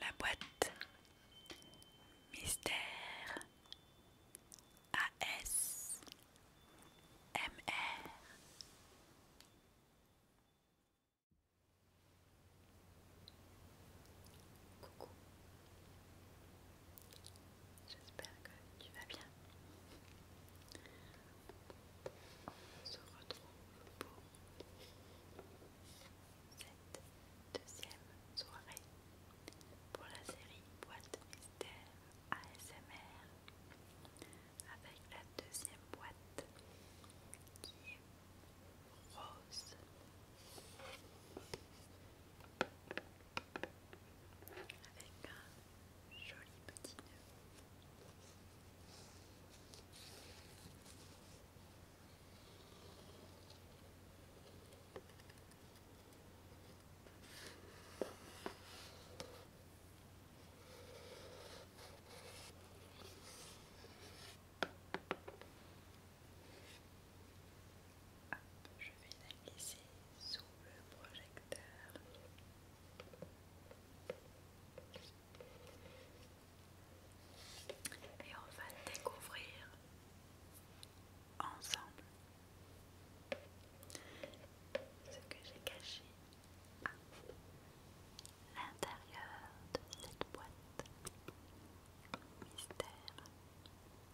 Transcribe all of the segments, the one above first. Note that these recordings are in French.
La boîte Mystère AS MR J'espère que tu vas bien. On se retrouve pour cette deuxième soirée pour la série Boîte Mystère ASMR avec la deuxième boîte qui est rose avec un joli petit nœud je vais la glisser sous le projecteur. Et on va découvrir ensemble ce que j'ai caché à l'intérieur de cette boîte mystère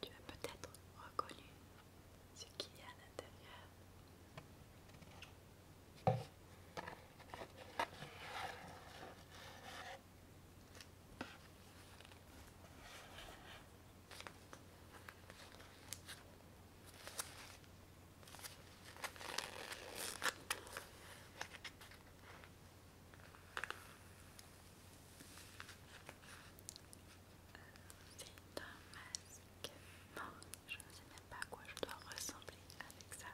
Tu as peut-être reconnu ce qu'il y a à l'intérieur. C'est un masque. je ne sais même pas à quoi je dois ressembler avec ça.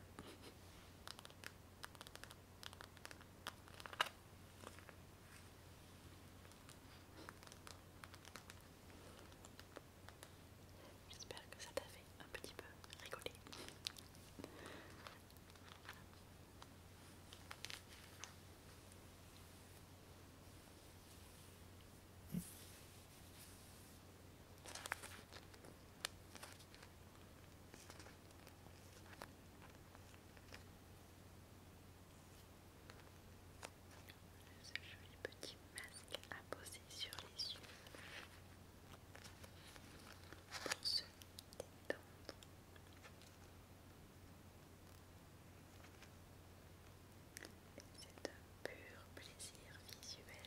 J'espère que ça t'a fait un petit peu rigoler ce joli petit masque à poser sur les yeux pour se détendre. C'est un pur plaisir visuel.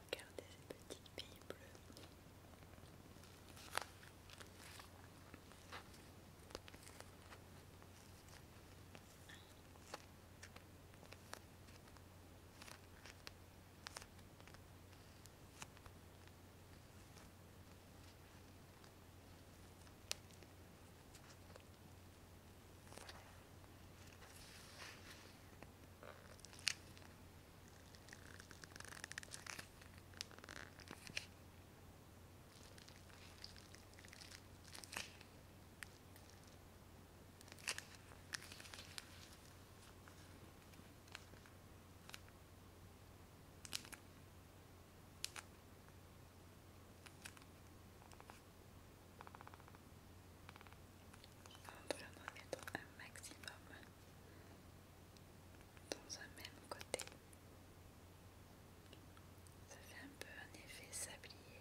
regardez ces petits billes bleues. On doit en mettre un maximum dans un même côté. Ça fait un peu un effet sablier.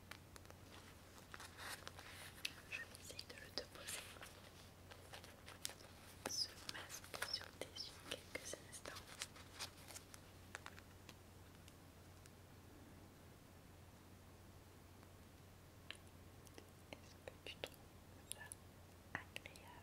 Je vais essayer de le déposer. Ce masque sur tes yeux quelques instants. Est-ce que tu trouves ça agréable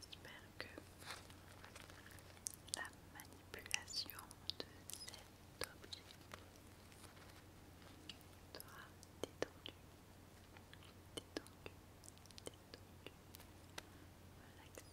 J'espère que la manipulation de cet objet sera détendue, détendu, détendu, relaxé.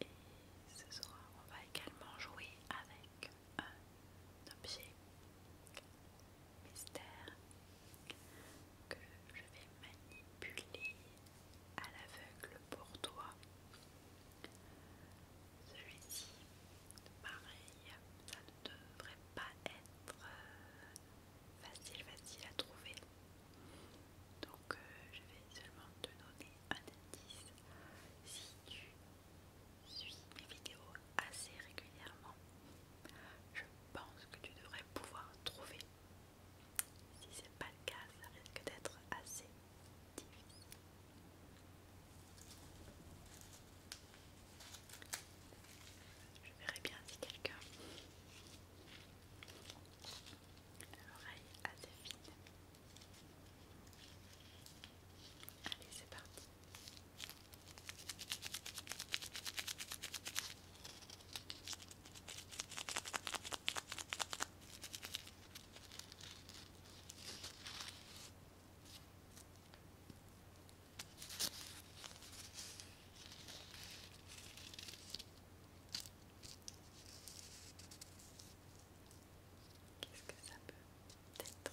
Et ce soir, on va également jouer avec un objet mystère que je vais manipuler à l'aveugle pour toi. Celui-ci, pareil, ça ne devrait pas être facile, facile à trouver. Donc euh, je vais seulement te donner un indice. Si tu suis mes vidéos assez régulièrement, je pense que tu devrais pouvoir trouver. Si c'est pas le cas, ça risque d'être assez difficile. Je verrai bien si quelqu'un l'oreille assez fine. Allez, c'est parti. Qu'est-ce que ça peut être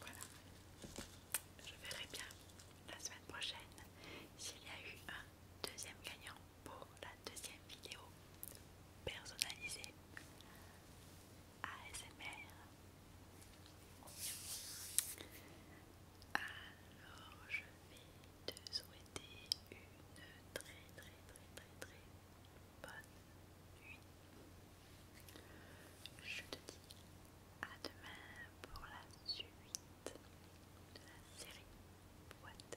Voilà, je verrai bien la semaine prochaine s'il y a eu un deuxième gagnant pour la deuxième vidéo personnalisée ASMR. Alors je vais te souhaiter une très très très très très bonne nuit. Je te dis à demain pour la suite de la série boîte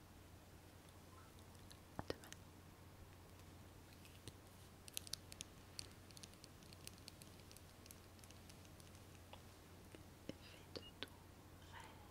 demain. de ton rêve.